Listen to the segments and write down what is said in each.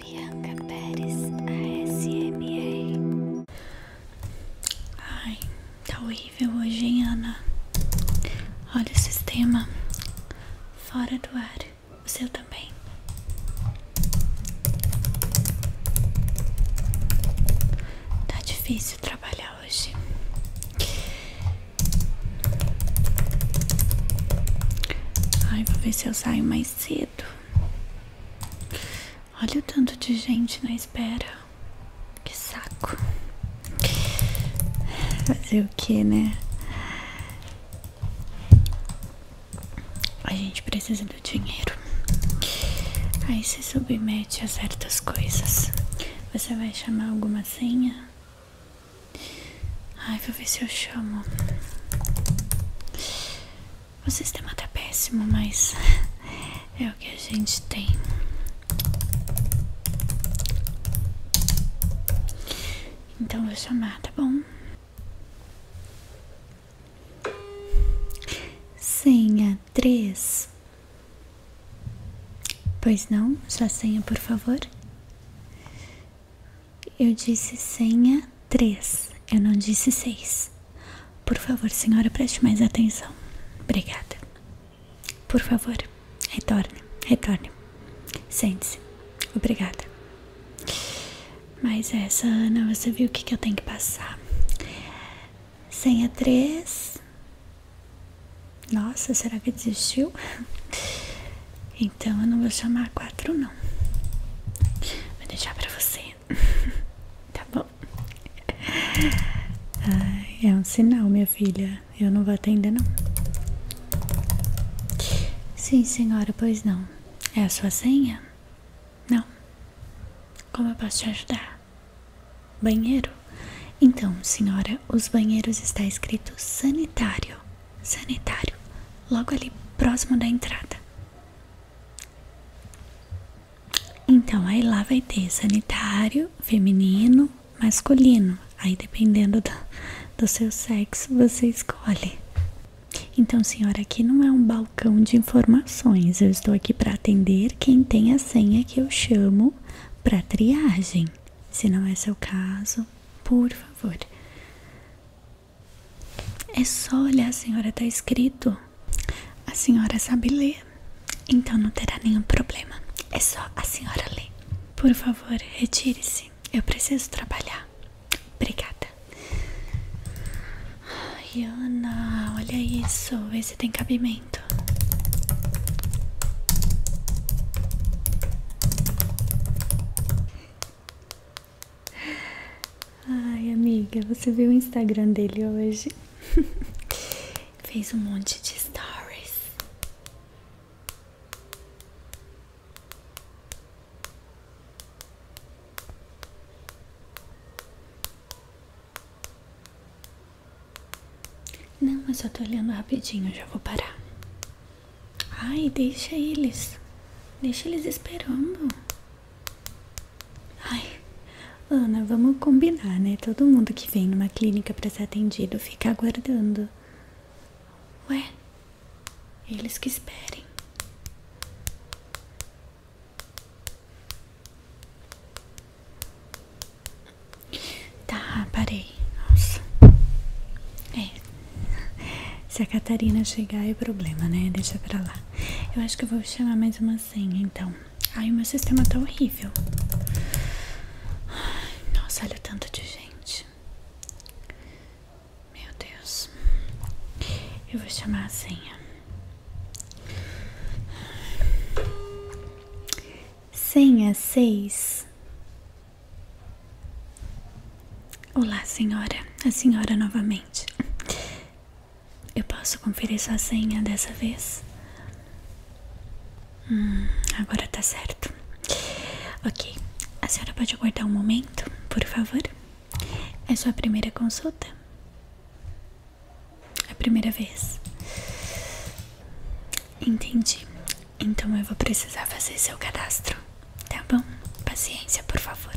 Bianca Pérez, ASMR. Ai, tá horrível hoje, hein, Ana? Olha o sistema fora do ar. O seu também. Tá difícil trabalhar hoje. Ai, vou ver se eu saio mais cedo. Olha o tanto de gente na espera. Que saco. Fazer o que, né? A gente precisa do dinheiro. Aí se submete a certas coisas. Você vai chamar alguma senha? Ai, vou ver se eu chamo. O sistema tá péssimo, mas é o que a gente tem. Então vou chamar, tá bom? Senha três. Pois não, só senha, por favor. Eu disse senha 3, eu não disse 6. Por favor, senhora, preste mais atenção. Obrigada. Por favor, retorne, retorne. Sente-se. Obrigada. Mas essa, Ana, você viu o que, que eu tenho que passar? Senha 3. Nossa, será que desistiu? Então eu não vou chamar quatro não. Vou deixar pra você. tá bom? Ai, é um sinal, minha filha. Eu não vou atender não. Sim, senhora, pois não. É a sua senha? Não. Como eu posso te ajudar? Banheiro? Então, senhora, os banheiros está escrito sanitário sanitário, logo ali próximo da entrada. Então, aí lá vai ter sanitário, feminino, masculino. Aí, dependendo do, do seu sexo, você escolhe. Então, senhora, aqui não é um balcão de informações. Eu estou aqui para atender quem tem a senha que eu chamo para triagem. Se não é seu caso, por favor, é só olhar, a senhora está escrito. A senhora sabe ler, então não terá nenhum problema. É só a senhora ler. Por favor, retire-se. Eu preciso trabalhar. Obrigada. Ai, Ana, olha isso. Vê se tem cabimento. Ai, amiga, você viu o Instagram dele hoje? Fez um monte de stories. Não, eu só tô olhando rapidinho, já vou parar. Ai, deixa eles. Deixa eles esperando. Ai, Ana, vamos combinar, né? Todo mundo que vem numa clínica para ser atendido fica aguardando. Ué, eles que esperem. Tá, parei. Nossa. É. Se a Catarina chegar é problema, né? Deixa pra lá. Eu acho que eu vou chamar mais uma senha, então. Ai, o meu sistema tá horrível. nossa, olha o tanto de gente. Meu Deus. Eu vou chamar a senha. Senha seis Olá, senhora. A senhora novamente. Eu posso conferir sua senha dessa vez? Hum, agora tá certo. Ok. A senhora pode aguardar um momento, por favor? É sua primeira consulta? É a primeira vez? Entendi. Então eu vou precisar fazer seu cadastro, tá bom? Paciência, por favor,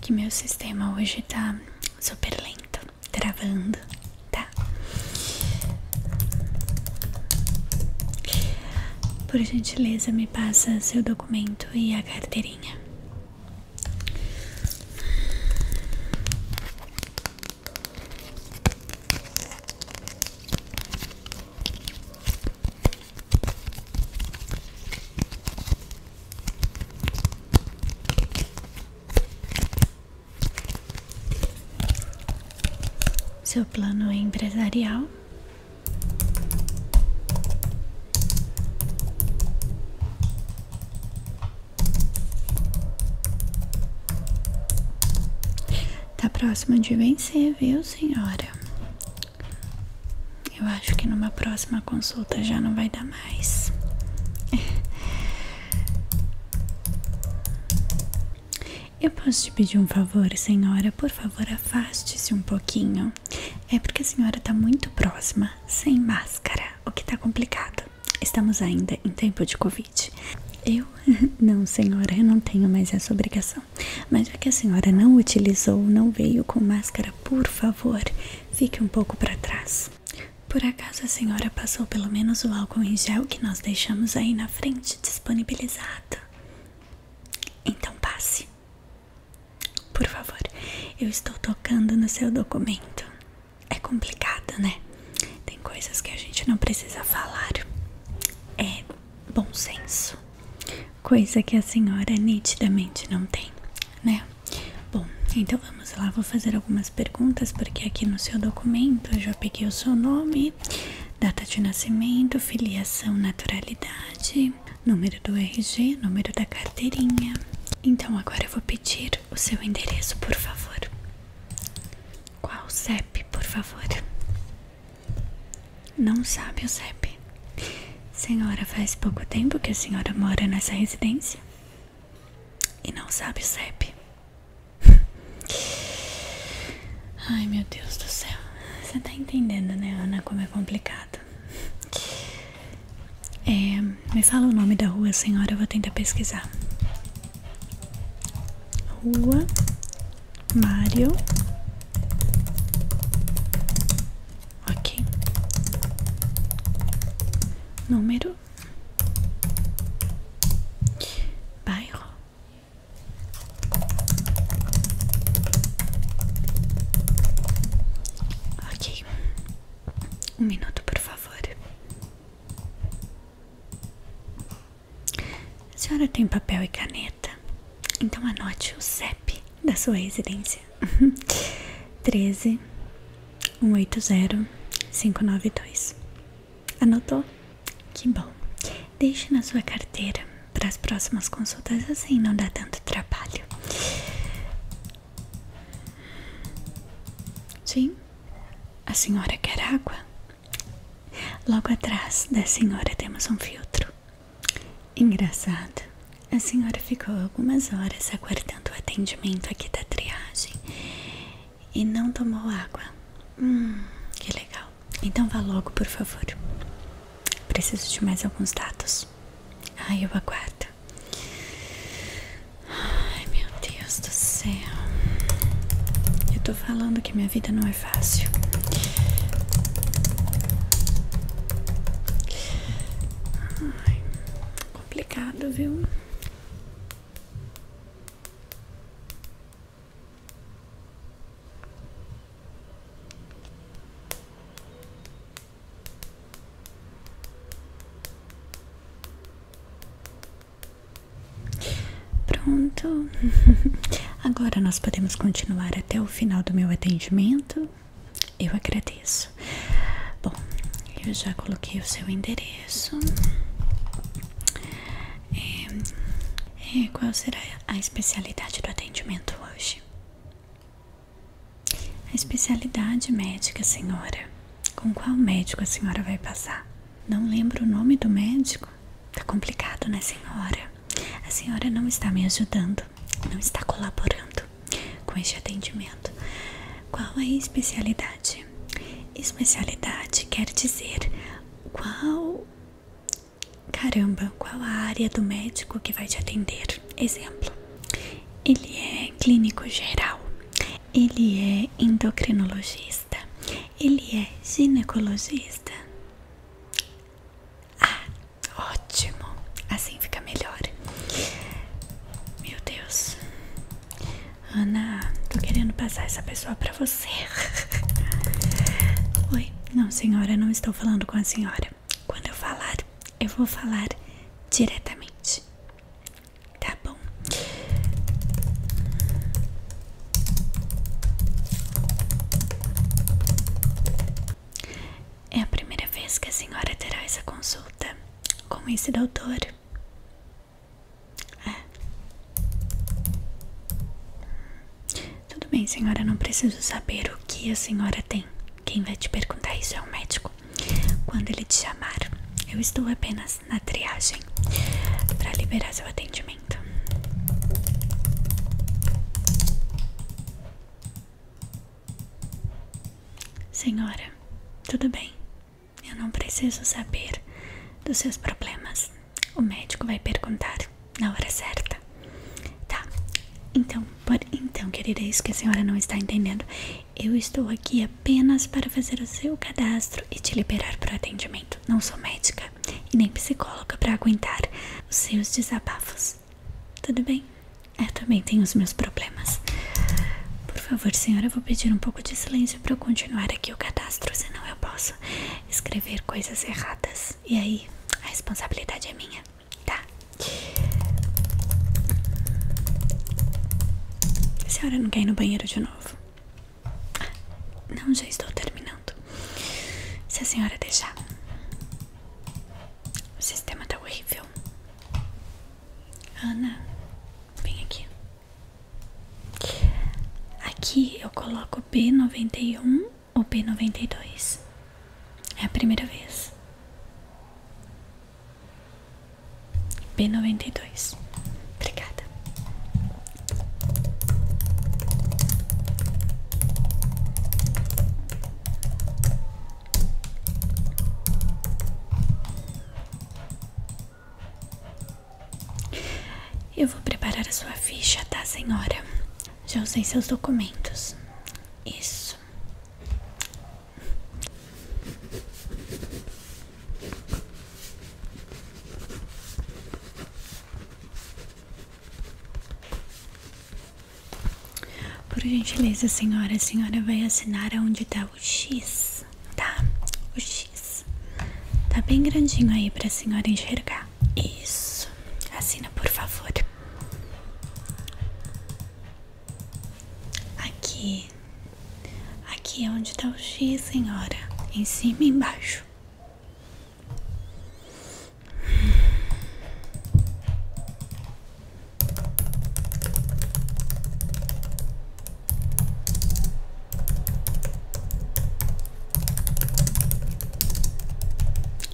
que meu sistema hoje tá super lento, travando, tá? Por gentileza, me passa seu documento e a carteirinha. Seu plano é empresarial. Tá próxima de vencer, viu, senhora? Eu acho que numa próxima consulta já não vai dar mais. Eu posso te pedir um favor, senhora? Por favor, afaste-se um pouquinho. É porque a senhora tá muito próxima, sem máscara, o que tá complicado. Estamos ainda em tempo de Covid. Eu? Não, senhora, eu não tenho mais essa obrigação. Mas já que a senhora não utilizou, não veio com máscara, por favor, fique um pouco para trás. Por acaso a senhora passou pelo menos o álcool em gel que nós deixamos aí na frente disponibilizado? Então passe. Por favor, eu estou tocando no seu documento. É complicado, né? Tem coisas que a gente não precisa falar. É bom senso. Coisa que a senhora nitidamente não tem, né? Bom, então vamos lá, vou fazer algumas perguntas porque aqui no seu documento eu já peguei o seu nome, data de nascimento, filiação, naturalidade, número do RG, número da carteirinha. Então agora eu vou pedir o seu endereço, por favor. Qual CEP, por favor? Não sabe o CEP. Senhora, faz pouco tempo que a senhora mora nessa residência e não sabe o CEP. Ai, meu Deus do céu. Você tá entendendo, né, Ana, como é complicado. É, me fala o nome da rua, senhora, eu vou tentar pesquisar. Rua Mário. Ok. Número. Bairro. Ok. Um minuto, por favor. A senhora tem papel e caneta? Então anote o CEP da sua residência: 13 180 592. Anotou? Que bom. Deixe na sua carteira para as próximas consultas, assim não dá tanto trabalho. Sim? A senhora quer água? Logo atrás da senhora temos um filtro. Engraçado, a senhora ficou algumas horas aguardando o atendimento aqui da triagem e não tomou água. Hum, que legal. Então vá logo, por favor. Preciso de mais alguns dados. Ah, eu aguardo. Ai meu Deus do céu. Eu tô falando que minha vida não é fácil. Ai, complicado, viu? Pronto. Agora nós podemos continuar até o final do meu atendimento. Eu agradeço. Bom, eu já coloquei o seu endereço. É, é, qual será a especialidade do atendimento hoje? A especialidade médica, senhora. Com qual médico a senhora vai passar? Não lembro o nome do médico? Tá complicado, né, senhora? A senhora não está me ajudando, não está colaborando com este atendimento. Qual é a especialidade? Especialidade quer dizer qual. Caramba, qual a área do médico que vai te atender? Exemplo, ele é clínico geral, ele é endocrinologista. Ele é ginecologista. Ah, ótimo. Assim fica melhor. Meu Deus. Ana, tô querendo passar essa pessoa para você. Oi. Não, senhora, não estou falando com a senhora. Quando eu falar, eu vou falar diretamente. Tá bom. É a primeira vez que a senhora terá essa consulta com esse doutor. É. Tudo bem, senhora, não preciso saber o que a senhora tem. Quem vai te perguntar isso é o médico. Quando ele te chamar, eu estou apenas na triagem para liberar seu atendimento. Senhora, tudo bem. Eu não preciso saber dos seus problemas. O médico vai perguntar na hora certa. Tá. Então, então, querida, é isso que a senhora não está entendendo. Eu estou aqui apenas para fazer o seu cadastro e te liberar para o atendimento. Não sou médica e nem psicóloga para aguentar os seus desabafos. Tudo bem? Eu também tenho os meus problemas. Por favor, senhora, eu vou pedir um pouco de silêncio para eu continuar aqui o cadastro, senão eu posso escrever coisas erradas. E aí, a responsabilidade é minha, tá? A senhora não quer ir no banheiro de novo? Não, já estou terminando. Se a senhora deixar. O sistema está horrível. Ana, vem aqui. Aqui eu coloco B91 ou B92. É a primeira vez. P noventa e dois, Obrigada. Eu vou preparar a sua ficha, tá, senhora? Já usei seus documentos. Isso. Por gentileza, senhora, a senhora vai assinar aonde tá o X, tá? O X. Tá bem grandinho aí pra senhora enxergar. Isso. Assina, por favor. Aqui. Aqui é onde está o X, senhora. Em cima e embaixo.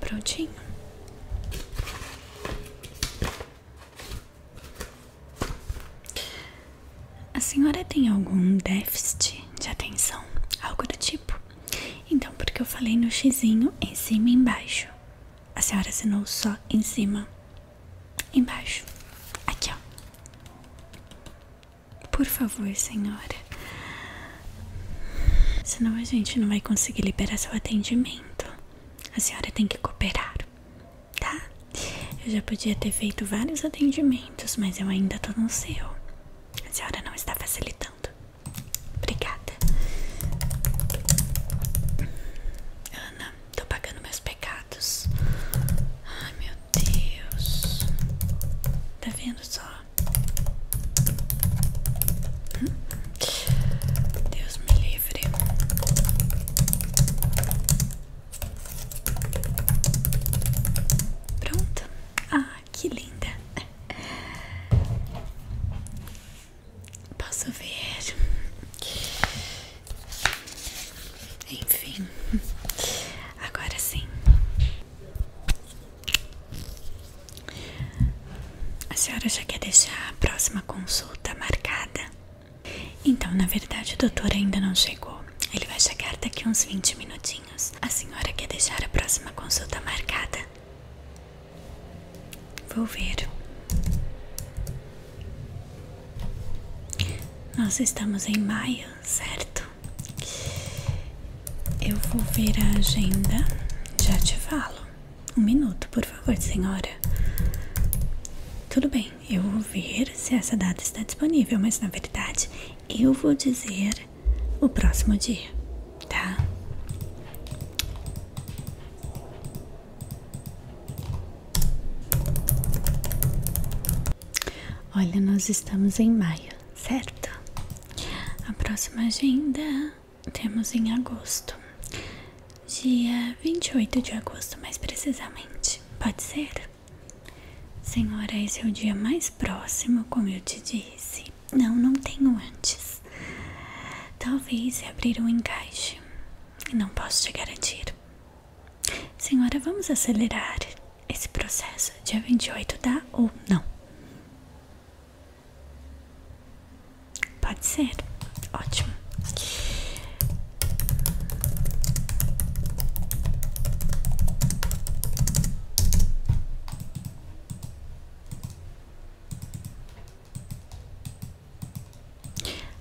Prontinho. A senhora tem algum déficit de atenção? Algo do tipo? Então, porque eu falei no xizinho em cima e embaixo. A senhora assinou só em cima. Embaixo. Aqui, ó. Por favor, senhora. Senão a gente não vai conseguir liberar seu atendimento. A senhora tem que cooperar tá? Eu já podia ter feito vários atendimentos, mas eu ainda tô no seu. A senhora não está facilitando. Obrigada. Ana, tô pagando meus pecados. Ai, meu Deus. Tá vendo só? Hum? Deus me livre. Pronto. Ah, que linda. Posso ver? Enfim, agora sim. A senhora já quer deixar a próxima consulta marcada? Então, na verdade, o doutor ainda não chegou. Ele vai chegar daqui uns 20 minutinhos. A senhora quer deixar a próxima consulta marcada? Vou ver. Nós estamos em maio, certo? Eu vou ver a agenda, já te falo. Um minuto, por favor, senhora. Tudo bem, eu vou ver se essa data está disponível, mas na verdade eu vou dizer o próximo dia, tá? Olha, nós estamos em maio, certo? A próxima agenda temos em agosto, dia 28 de agosto, mais precisamente. Pode ser? Senhora, esse é o dia mais próximo, como eu te disse. Não, não tenho antes. Talvez se abrir um encaixe. Não posso te garantir. Senhora, vamos acelerar esse processo. Dia 28 dá tá? ou não? Pode ser. Ótimo.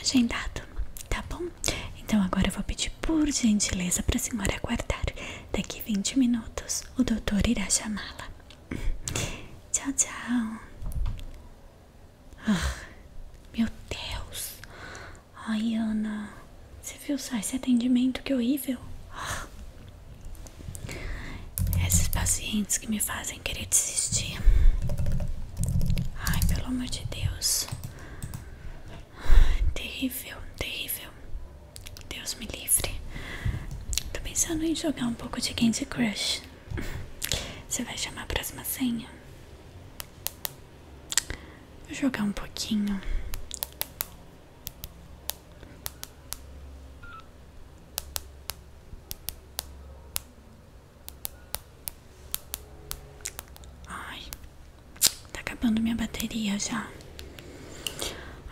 Agendado, tá bom? Então agora eu vou pedir por gentileza para a senhora aguardar. Daqui vinte minutos o doutor irá chamá-la. Tchau, tchau. Ah, meu Deus. Ai, Ana. Você viu só esse atendimento? Que horrível. Ah, esses pacientes que me fazem querer desistir. Ai, pelo amor de Deus. Ah, terrível, terrível. Deus me livre. Tô pensando em jogar um pouco de Candy Crush. Você vai chamar a próxima senha? Vou jogar um pouquinho. Ai, tá acabando minha bateria já.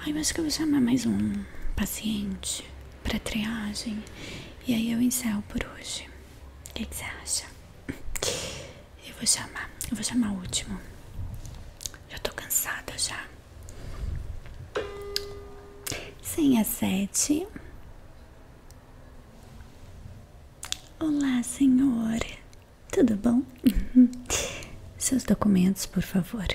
Ai, mas que eu vou chamar mais um paciente para triagem. E aí eu encerro por hoje. O que, você acha? Eu vou chamar, eu vou chamar o último. Eu tô cansada já. Senha 7. Olá, senhor. Tudo bom? Seus documentos, por favor.